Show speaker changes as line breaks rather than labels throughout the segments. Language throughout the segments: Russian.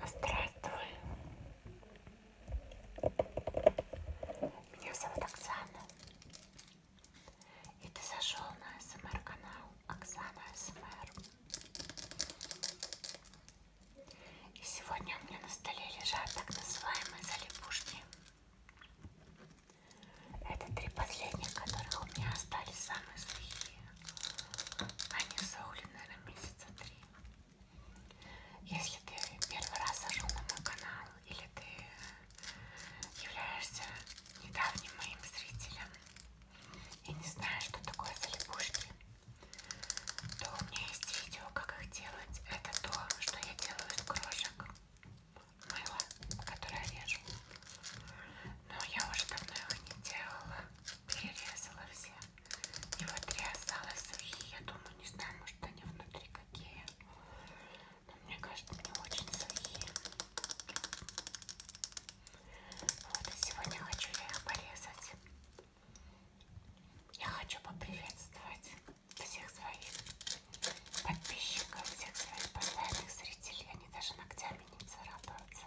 А здравствуй. Меня зовут Оксана. И ты зашел на СМР канал Оксана СМР. И сегодня у меня на столе лежат так называемые залипушки. Это три последних, которых у меня остались самые сухие. Они саули, наверное, месяца три. Если ты первый раз зашел на мой канал, или ты являешься недавним моим зрителем и не знаешь, что такое залипушки, то у меня есть видео, как их делать. Это то, что я делаю из крошек мыла, которое я вижу. Но я уже давно их не делала. Перерезала все. И вот три осталось сухие. Я думаю, не знаю, может они внутри какие. Но мне кажется, не очень сухие. Вот и сегодня хочу я их порезать. Я хочу поприветствовать всех своих подписчиков, всех своих постоянных зрителей. Они даже ногтями не царапаются.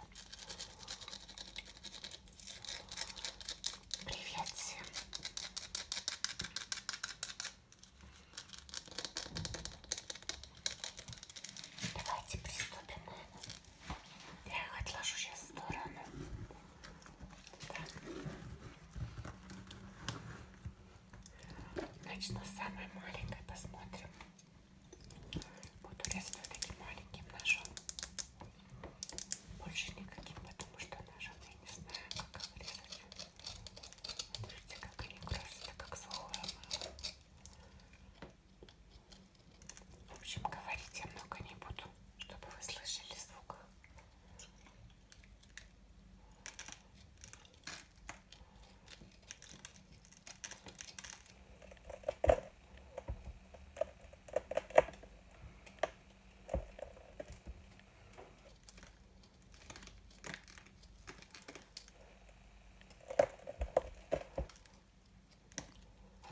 Привет всем! Давайте приступим, наверное. Я их отложу сейчас в сторону. Так. Значит, на самой маленькой посмотрим. Буду резать вот таким маленьким ножом. Больше никаким, потому что ножом я не знаю, как его резать. Смотрите, как они красятся, как сухое мыло. В общем, говорить я много не буду, чтобы вы слышали звук.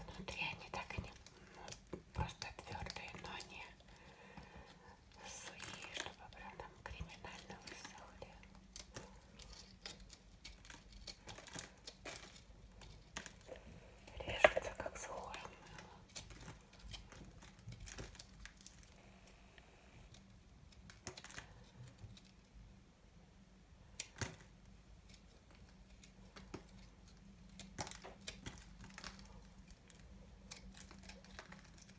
Внутри они так и не ну, просто твердые, но не сухие, чтобы прям там криминально высохли. Режется, как сухое мыло.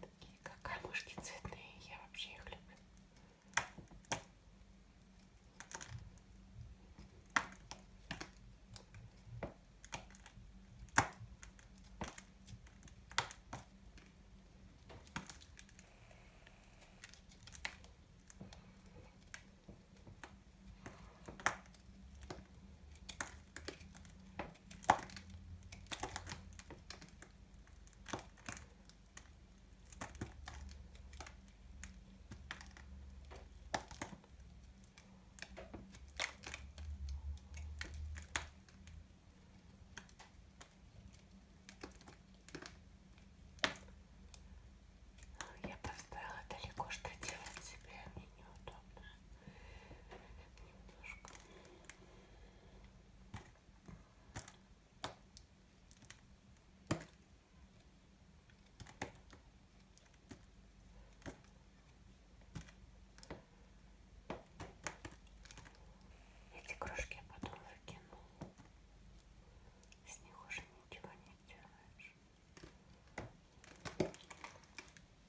Такие как камушки цветные, я вообще их люблю. Ну, я поставила далеко, что делать себе мне неудобно немножко. Эти кружки я потом выкину. С них уже ничего не делаешь.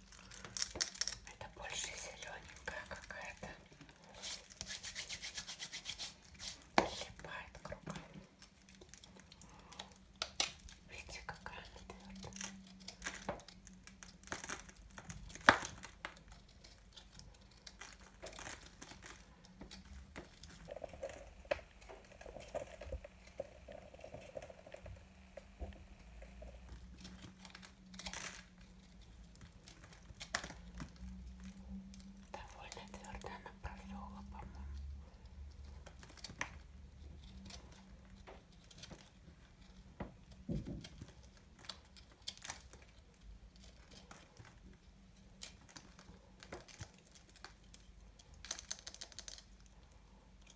Это больше зелененькая какая-то. Липает кругом. Видите, какая она твердая. Ой, Довольно твердо она просохла, по-моему.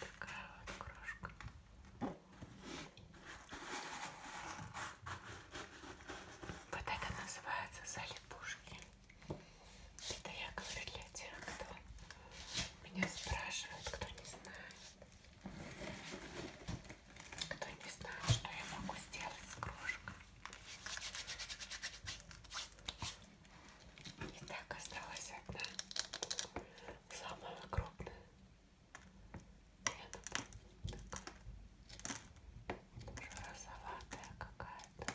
Такая вот крошка. Вот это называется залипушки. Это я говорю для тех, кто меня спрашивает, кто не знает. Кто не знает, что я могу сделать с крошкой. И так осталась одна. Самая крупная. Я такая. Уже розоватая какая-то.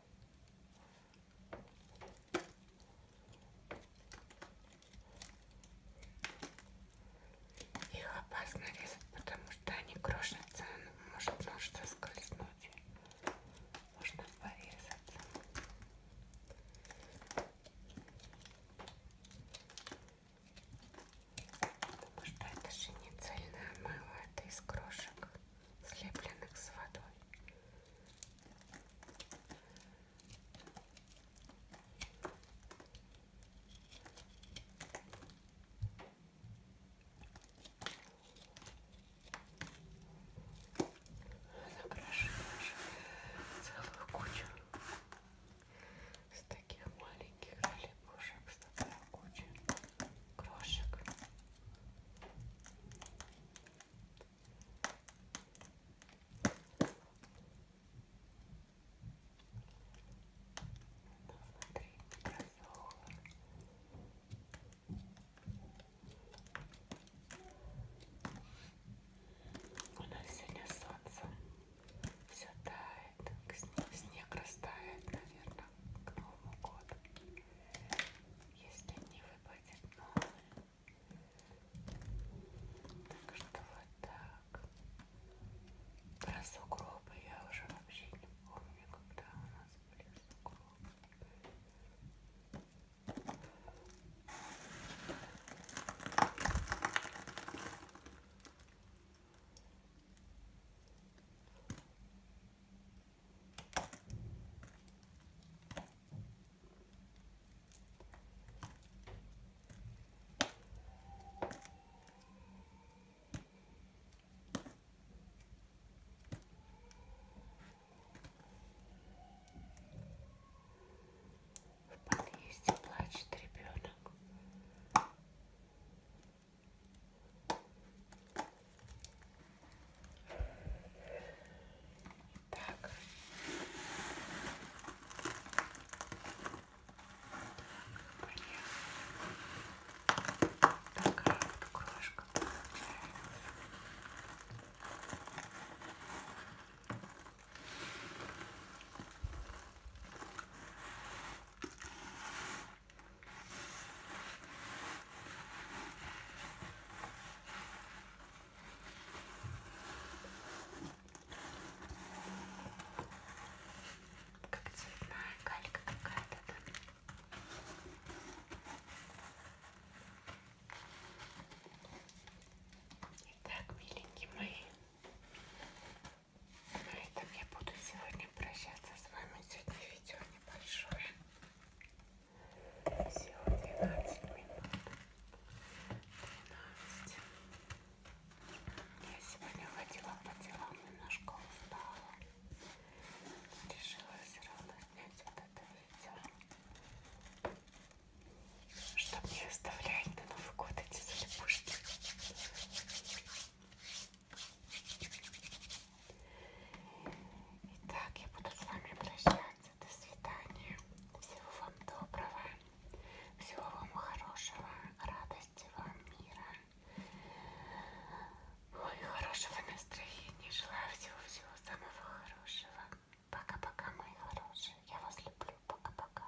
Их опасно резать, потому что они крошатся, ну, может нож соскользнуть. Можно порезаться. Потому что это же не цельное мыло, это из крошек слепленных с водой. Накрашиваешь целую кучу с таких маленьких лепушек, с такой кучей крошек. У нас сегодня солнце все тает, снег растает, наверное, к Новому году если не выпадет новый. Так что вот так. Про сугробы я уже вообще не помню, когда у нас были сугробы. В подъезде плачет ребенок. Так. Такая вот крошка получается. Как цветная калька какая-то там. Итак, миленькие мои, на этом я буду сегодня прощаться с вами. Сегодня видео небольшое. Всего 12 минут. 12. Я сегодня ходила по делам, немножко устала. Решила все равно снять вот это видео. Чтобы не оставлять на Новый год эти слепушки. Итак, я буду с вами прощаться. До свидания. Всего вам доброго. Всего вам хорошего. Радости вам, мира. Ой, хорошего настроения. Желаю всего-всего самого хорошего. Пока-пока, мои хорошие. Я вас люблю. Пока-пока.